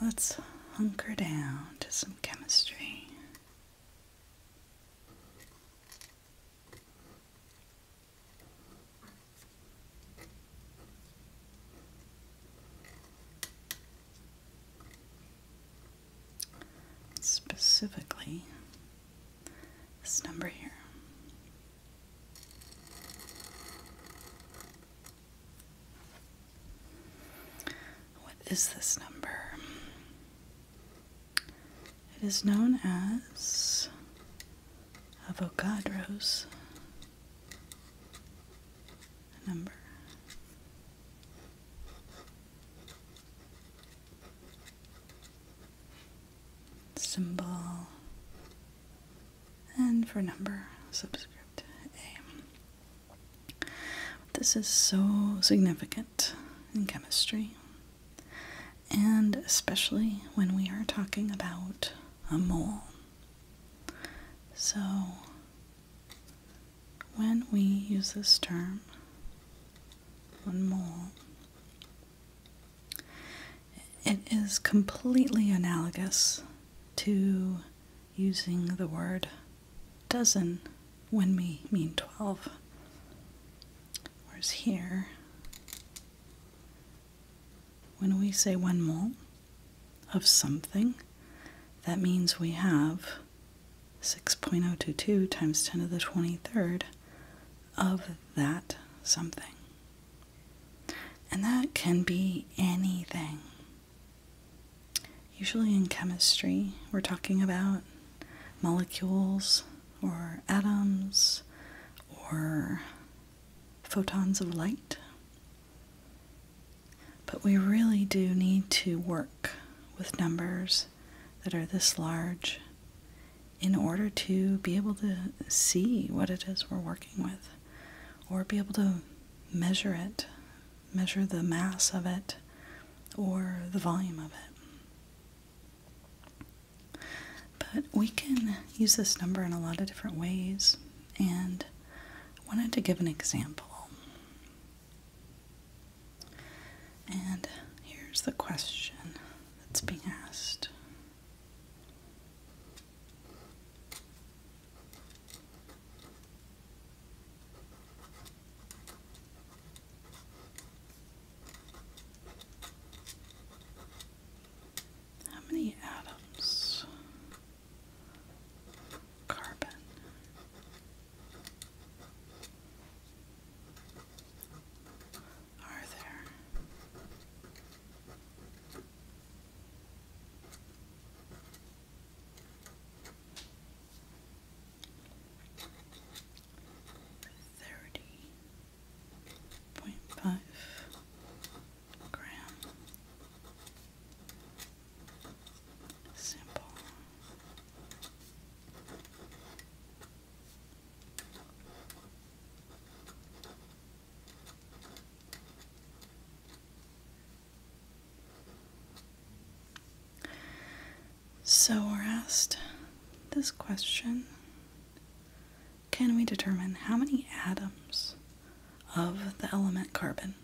Let's hunker down to some chemistry. Specifically, this number here. What is this number? It is known as Avogadro's number symbol, and for number, subscript A. This is so significant in chemistry, and especially when we are talking about a mole. So, when we use this term, one mole, it is completely analogous to using the word dozen when we mean 12. Whereas here, when we say one mole of something, that means we have 6.022 times 10 to the 23rd of that something. And that can be anything. Usually in chemistry, we're talking about molecules or atoms or photons of light. But we really do need to work with numbers that are this large in order to be able to see what it is we're working with or be able to measure it, measure the mass of it or the volume of it. But we can use this number in a lot of different ways and I wanted to give an example. And here's the question that's being asked. How many atoms? Carbon are there? Thirty point five gram sample so we're asked this question Can we determine how many atoms of the element carbon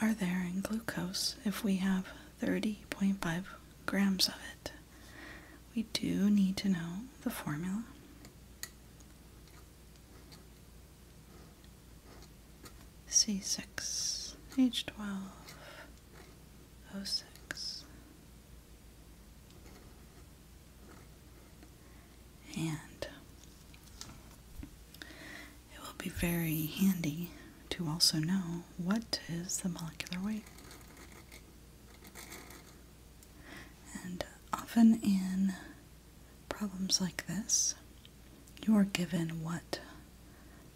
are there in glucose if we have 30.5 grams of it. We do need to know the formula. C6, H12, O6. And it will be very handy to also know what is the molecular weight. And often in problems like this, you are given what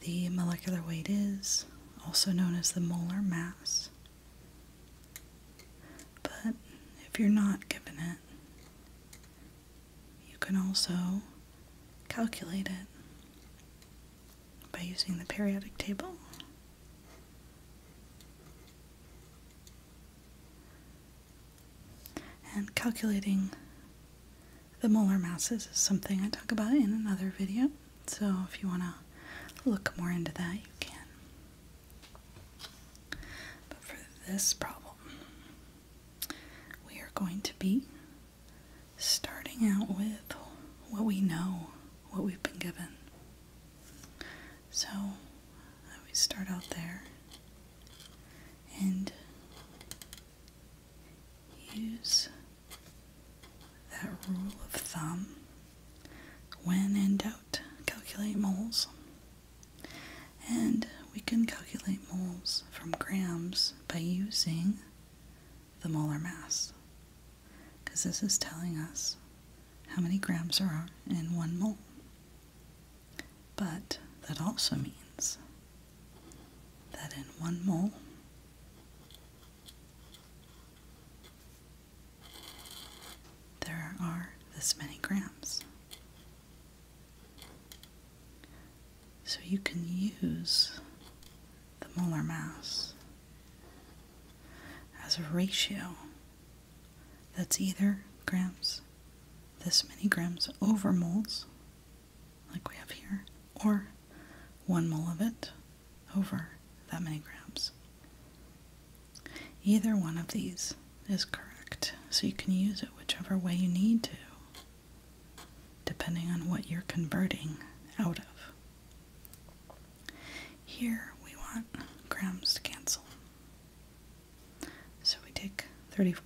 the molecular weight is, also known as the molar mass. But if you're not given it, you can also calculate it by using the periodic table. And calculating the molar masses is something I talk about in another video, so if you want to look more into that, you can. But for this problem, we are going to be starting out with what we know, what we've been given. So we start out there and use that rule of thumb when in doubt, calculate moles. And we can calculate moles from grams by using the molar mass. Because this is telling us how many grams are in one mole. But that also means that in one mole, there are this many grams. So you can use the molar mass as a ratio that's either grams, this many grams over moles, like we have here, or one mole of it over that many grams. Either one of these is correct, so you can use it whichever way you need to depending on what you're converting out of. Here we want grams to cancel. So we take 30.5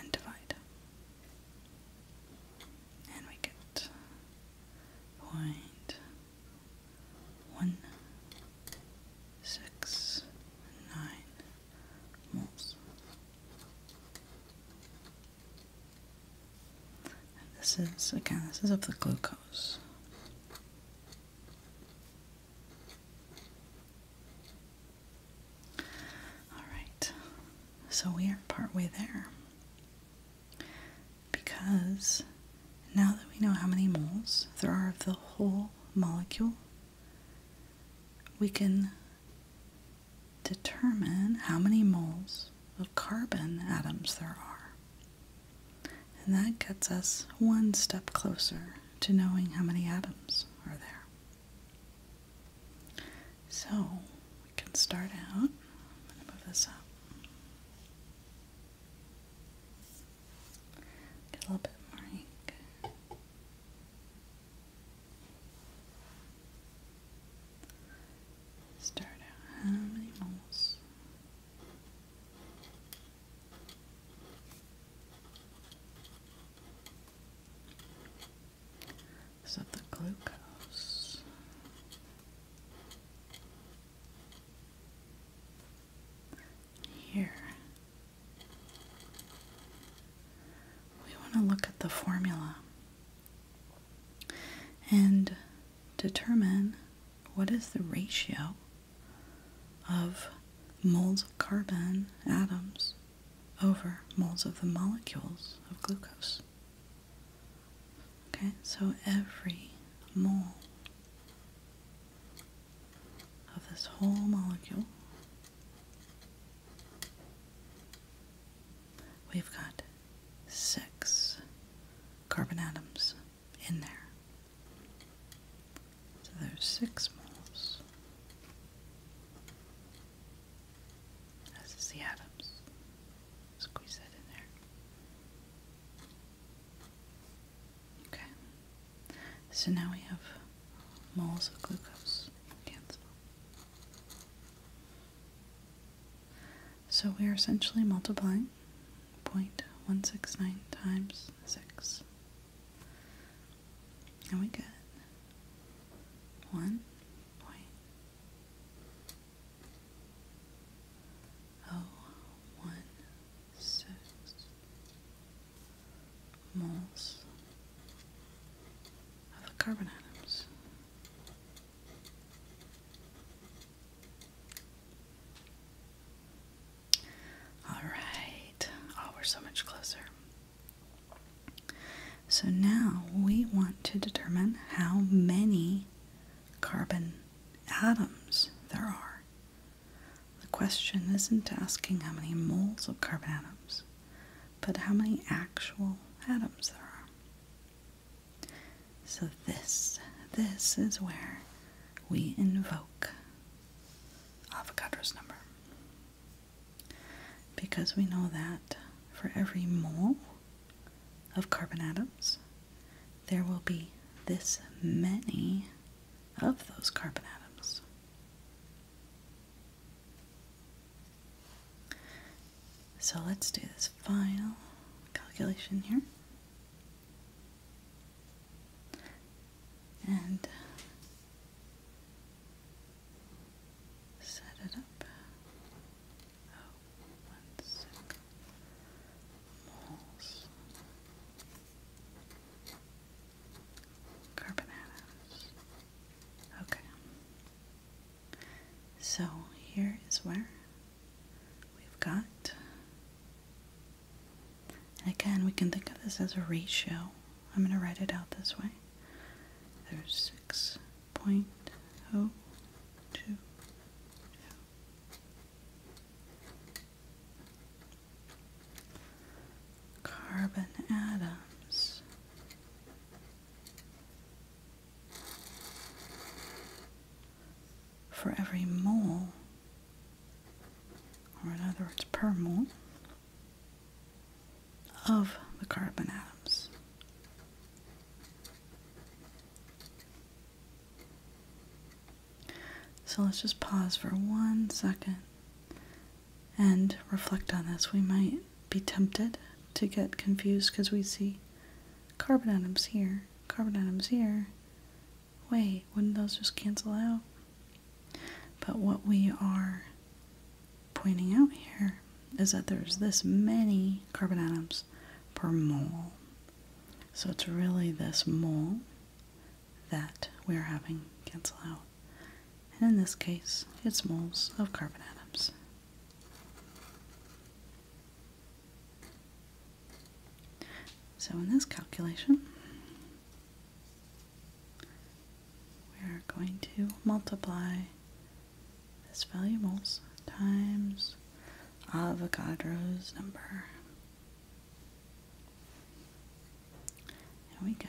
and divide. And we get point one six nine this is, again, this is of the glucose. Alright, so we are partway there. Because now that we know how many moles there are of the whole molecule, we can determine how many moles of carbon atoms there are. And that gets us one step closer to knowing how many atoms are there. So we can start out. Get a little bit more ink. Start out how many moles? So the glucose here we want to look at the formula and determine what is the ratio of moles of carbon atoms over moles of the molecules of glucose. Okay, so every mole of this whole molecule We've got six carbon atoms in there. So there's six moles. This the atoms. Squeeze that in there. Okay. So now we have moles of glucose. So we are essentially multiplying 0.169 times 6. And we get 1 moles of the carbon atoms. All right. Oh, we're so much closer. So now we want to determine how many carbon atoms there are. The question isn't asking how many moles of carbon atoms but how many actual atoms there are. So this, this is where we invoke Avogadro's number. Because we know that for every mole of carbon atoms, there will be this many of those carbon atoms. So let's do this final calculation here. And set it up. Oh, one Moles. Carbon Okay. So here is where we've got, and again, we can think of this as a ratio. I'm going to write it out this way. There's six point oh two carbon atoms. For every mole, or in other words, per mole, of the carbon atoms. So let's just pause for one second and reflect on this. We might be tempted to get confused because we see carbon atoms here, carbon atoms here. Wait, wouldn't those just cancel out? But what we are pointing out here is that there's this many carbon atoms per mole. So it's really this mole that we are having cancel out. And in this case, it's moles of carbon atoms. So in this calculation, we are going to multiply this value moles times Avogadro's number. And we got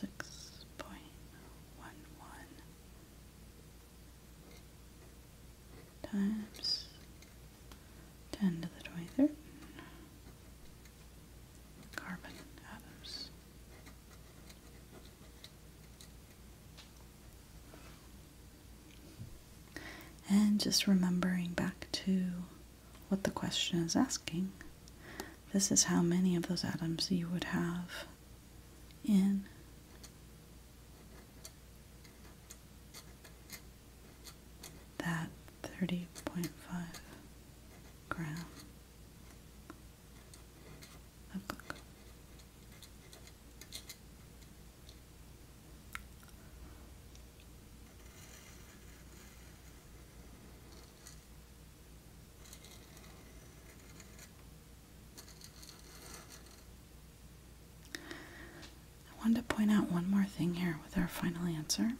six point one one times ten to the twenty third carbon atoms. And just remembering back to what the question is asking. This is how many of those atoms you would have in that 30.5 gram I wanted to point out one more thing here with our final answer,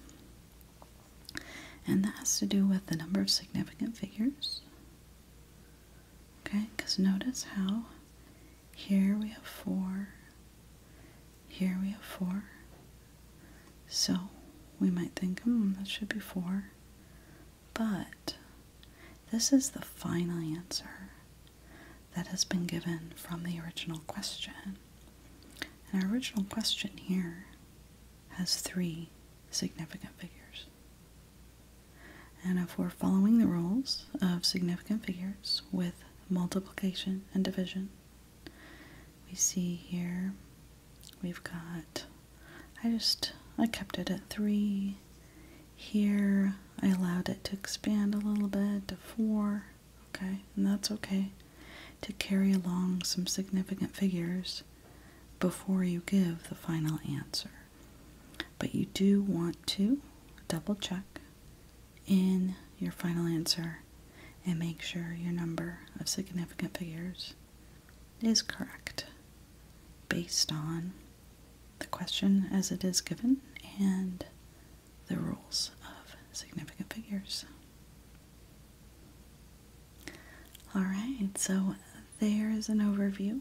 and that has to do with the number of significant figures. Okay, because notice how here we have four, here we have 4. So we might think, hmm, that should be 4. But this is the final answer that has been given from the original question. And our original question here has three significant figures. And if we're following the rules of significant figures with multiplication and division, we see here we've got I just I kept it at three here I allowed it to expand a little bit to four okay and that's okay to carry along some significant figures before you give the final answer but you do want to double check in your final answer and make sure your number of significant figures is correct based on the question as it is given and the rules of significant figures. Alright, so there's an overview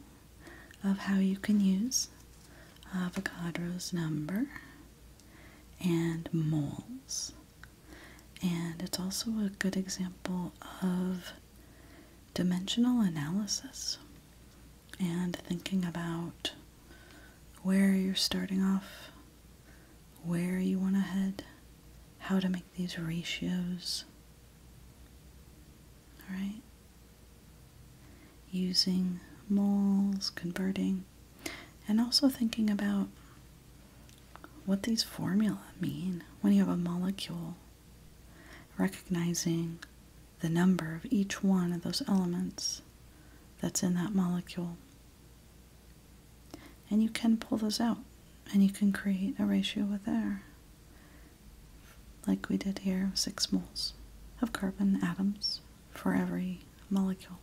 of how you can use Avogadro's number and moles and it's also a good example of dimensional analysis and thinking about where you're starting off, where you want to head, how to make these ratios. All right? Using moles, converting, and also thinking about what these formula mean when you have a molecule recognizing the number of each one of those elements that's in that molecule. And you can pull those out and you can create a ratio with air, like we did here, of six moles of carbon atoms for every molecule.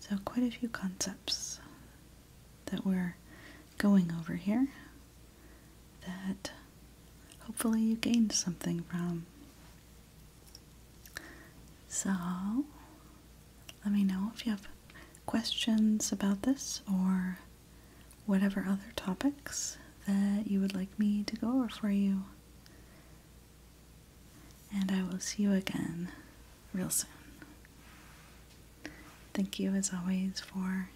So quite a few concepts that we're going over here that hopefully you gained something from. So let me know if you have questions about this or whatever other topics that you would like me to go over for you. And I will see you again real soon. Thank you, as always, for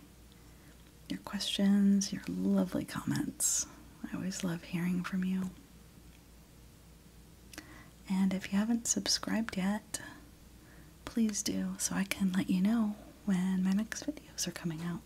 your questions, your lovely comments. I always love hearing from you. And if you haven't subscribed yet, please do so I can let you know when my next videos are coming out.